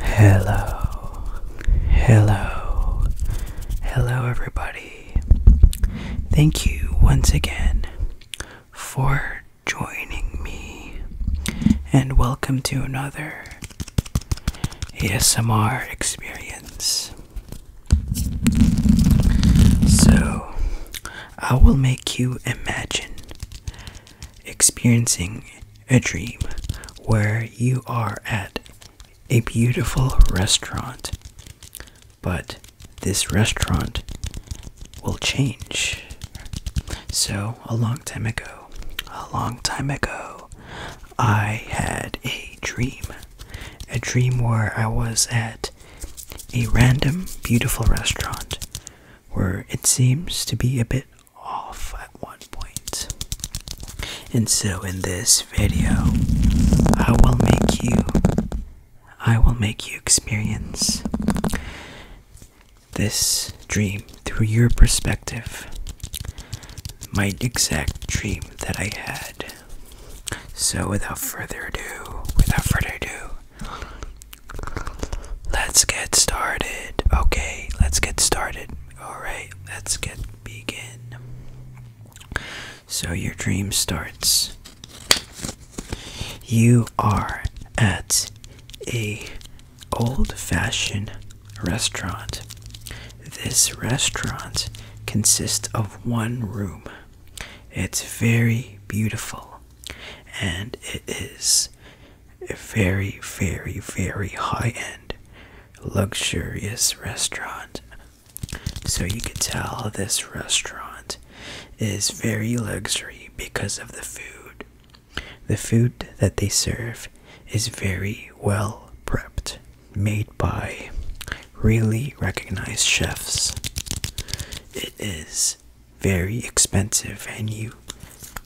Hello, hello, hello, everybody. Thank you once again for joining me, and welcome to another ASMR experience. So, I will make you imagine experiencing a dream where you are at a beautiful restaurant, but this restaurant will change. So, a long time ago, a long time ago, I had a dream. A dream where I was at a random beautiful restaurant where it seems to be a bit off at one point. And so in this video, I will make you I will make you experience this dream through your perspective. My exact dream that I had so without further ado, without further ado, let's get started. Okay, let's get started. All right, let's get begin. So your dream starts. You are at a old-fashioned restaurant. This restaurant consists of one room it's very beautiful and it is a very, very, very high end, luxurious restaurant. So you could tell this restaurant is very luxury because of the food. The food that they serve is very well prepped made by really recognized chefs. It is very expensive, and you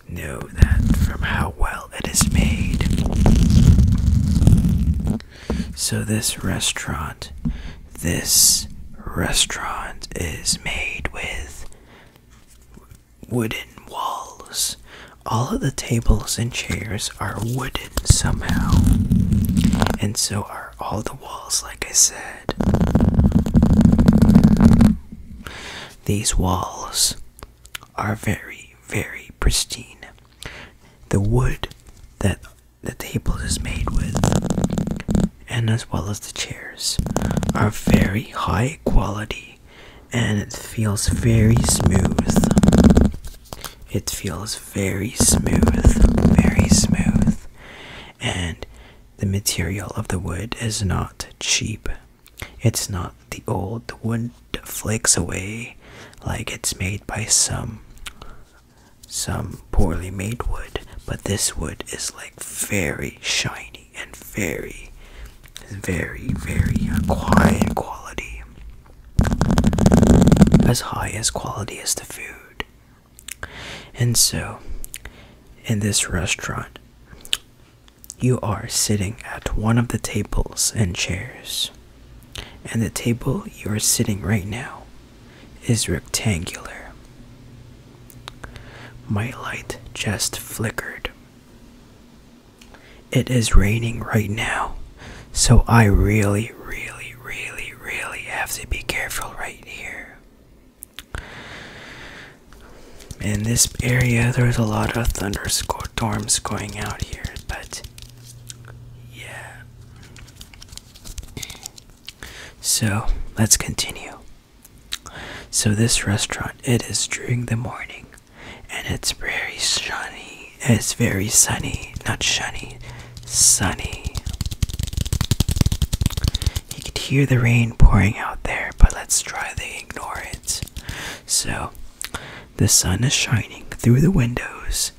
know that from how well it is made. So, this restaurant, this restaurant is made with wooden walls. All of the tables and chairs are wooden somehow. And so are all the walls, like I said. These walls are very, very pristine. The wood that the table is made with, and as well as the chairs, are very high quality and it feels very smooth. It feels very smooth, very smooth, and the material of the wood is not cheap. It's not the old wood flakes away like it's made by some some poorly made wood, but this wood is like very shiny and very very very quiet quality as high as quality as the food. And so, in this restaurant, you are sitting at one of the tables and chairs. And the table you are sitting right now is rectangular. My light just flickered. It is raining right now, so I really, really, really, really have to be careful right here. In this area, there's a lot of thunderstorms going out here, but yeah. So let's continue. So this restaurant, it is during the morning, and it's very sunny it's very sunny, not shiny, sunny. You could hear the rain pouring out there, but let's try to ignore it. So, the sun is shining through the windows.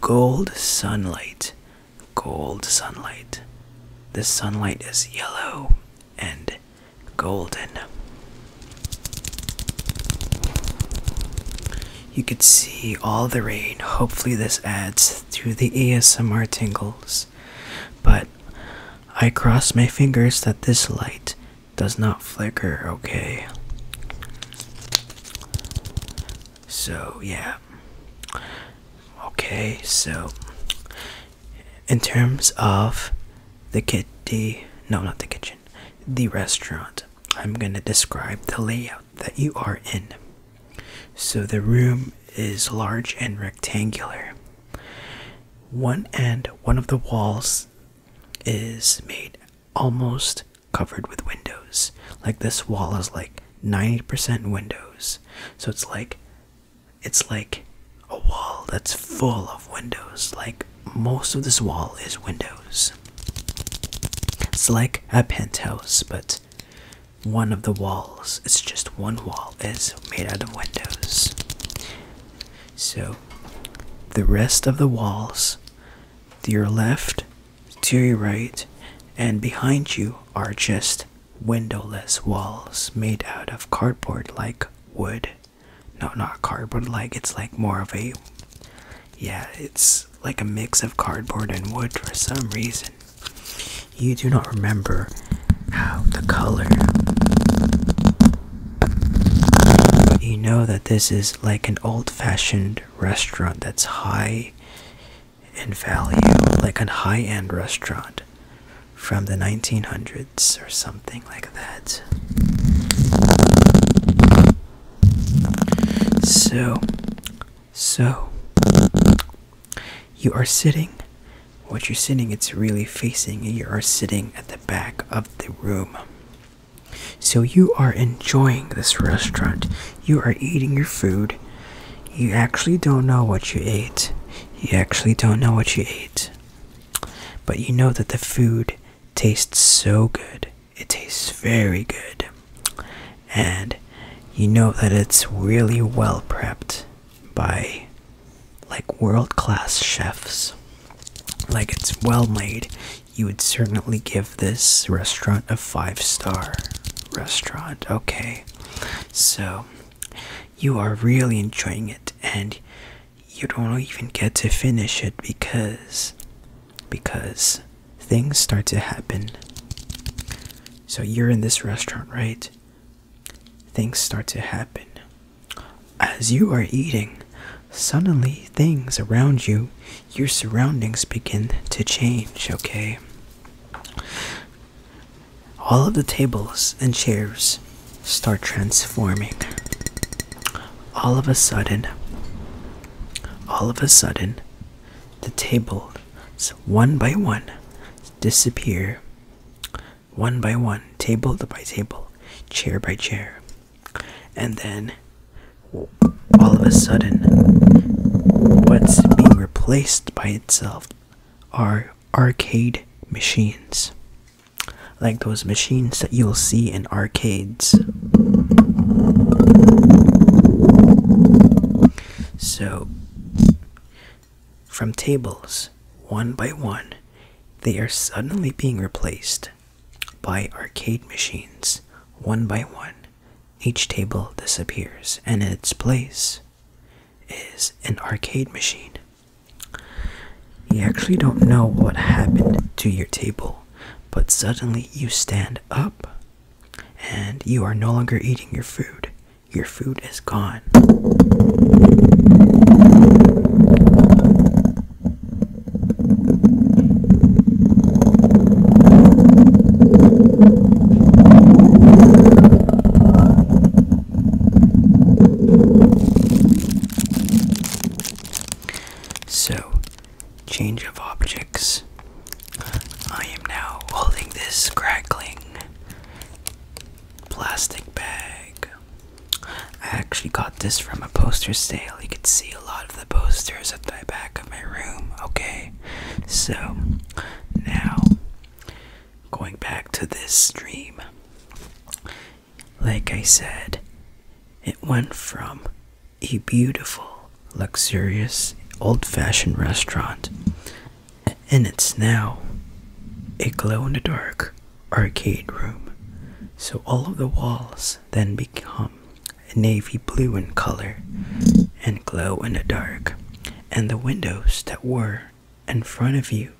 Gold sunlight, gold sunlight. The sunlight is yellow and golden. You could see all the rain. Hopefully, this adds to the ASMR tingles. But I cross my fingers that this light does not flicker, okay? So, yeah. Okay, so in terms of the kitty, no, not the kitchen, the restaurant. I'm going to describe the layout that you are in. So the room is large and rectangular. One end, one of the walls is made almost covered with windows. Like this wall is like 90% windows. So it's like it's like a wall that's full of windows, like most of this wall is windows. It's like a penthouse, but one of the walls, it's just one wall, is made out of windows. So the rest of the walls to your left, to your right, and behind you are just windowless walls made out of cardboard like wood. No, not cardboard like, it's like more of a yeah, it's like a mix of cardboard and wood for some reason. You do not remember how the color. But you know that this is like an old fashioned restaurant that's high in value, like a high end restaurant from the 1900s or something like that. So, so, you are sitting, what you're sitting, it's really facing, you are sitting at the back of the room. So, you are enjoying this restaurant, you are eating your food, you actually don't know what you ate, you actually don't know what you ate, but you know that the food tastes so good it tastes very good, and you know that it's really well prepped by like world class chefs. Like it's well made. You would certainly give this restaurant a five star restaurant. Okay, so you are really enjoying it, and you don't even get to finish it because because things start to happen so you're in this restaurant right things start to happen as you are eating suddenly things around you your surroundings begin to change okay all of the tables and chairs start transforming all of a sudden, all of a sudden, the tables one by one disappear, one by one, table by table, chair by chair, and then all of a sudden, what's being replaced by itself are arcade machines like those machines that you'll see in arcades. So, from tables, one by one, they are suddenly being replaced by arcade machines, one by one. Each table disappears, and in its place is an arcade machine. You actually don't know what happened to your table but suddenly you stand up and you are no longer eating your food. Your food is gone. So, change of objects. I am now holding this crackling plastic bag. I actually got this from a poster sale. You can see a lot of the posters at the back of my room, okay? So, now going back to this stream. Like I said, it went from a beautiful, luxurious, old fashioned restaurant, and it's now a glow in the dark arcade room. So all of the walls then become navy blue in color and glow in the dark, and the windows that were in front of you,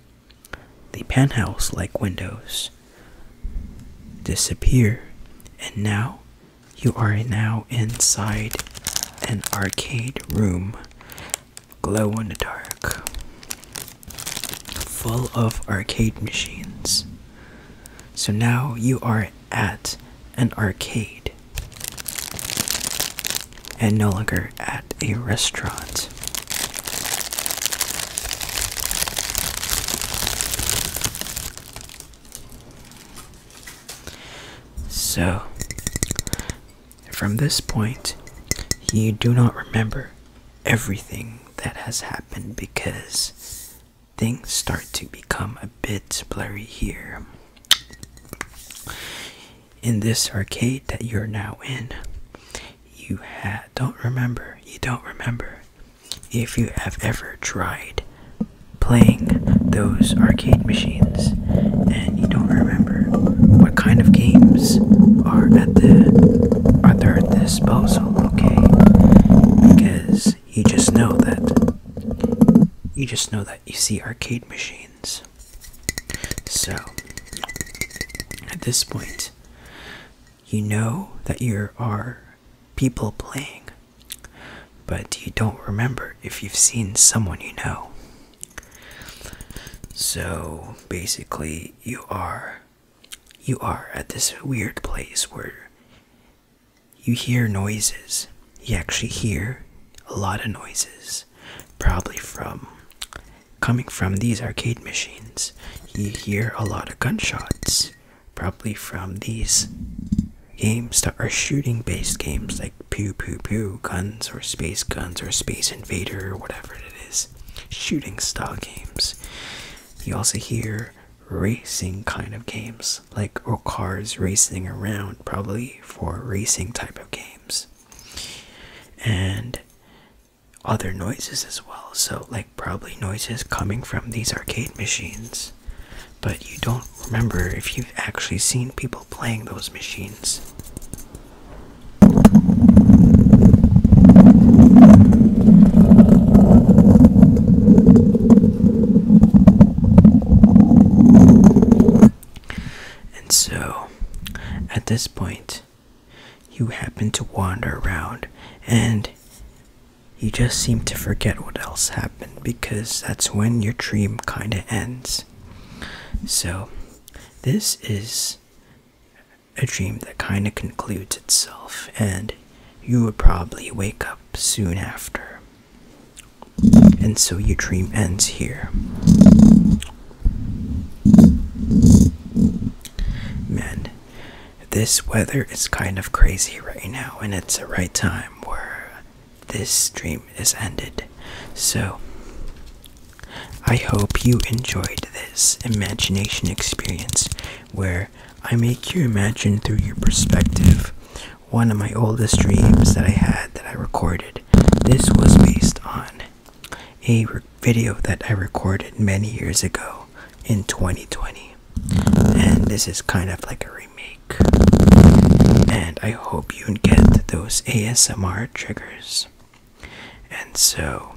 the penthouse like windows, disappear, and now you are now inside an arcade room, glow in the dark, full of arcade machines. So now you are at an arcade and no longer at a restaurant. So, from this point, you do not remember everything that has happened because things start to become a bit blurry here. In this arcade that you're now in, you ha don't remember, you don't remember if you have ever tried playing those arcade machines and you don't remember what kind of games are at the are their disposal, okay? Because you just know that you just know that you see arcade machines. So at this point, you know that you are people playing, but you don't remember if you've seen someone you know. So basically, you are you are at this weird place where you hear noises. You actually hear a lot of noises, probably from coming from these arcade machines. You hear a lot of gunshots, probably from these games that are shooting based games like Pew Pew Pew Guns or Space Guns or Space Invader or whatever it is. Shooting style games. You also hear racing kind of games like cars racing around, probably for racing type of games. And other noises as well. So, like, probably noises coming from these arcade machines. But you don't remember if you've actually seen people playing those machines. And so, at this point, you happen to wander around and you just seem to forget what else happened because that's when your dream kind of ends. So, this is a dream that kind of concludes itself, and you would probably wake up soon after. And so your dream ends here. Man, this weather is kind of crazy right now, and it's the right time where this dream is ended. So, I hope you enjoyed this imagination experience where I make you imagine through your perspective one of my oldest dreams that I had that I recorded. This was based on a video that I recorded many years ago in 2020. And this is kind of like a remake. And I hope you get those ASMR triggers. And so,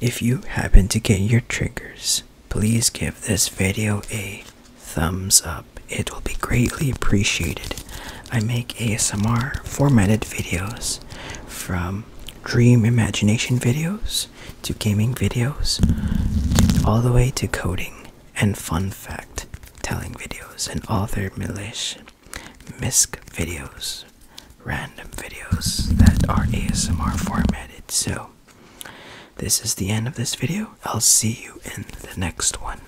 if you happen to get your triggers, please give this video a thumbs up. It will be greatly appreciated I make ASMR formatted videos from dream imagination videos to gaming videos all the way to coding and fun fact telling videos and other milish misc videos random videos that are ASMR formatted so this is the end of this video I'll see you in the next one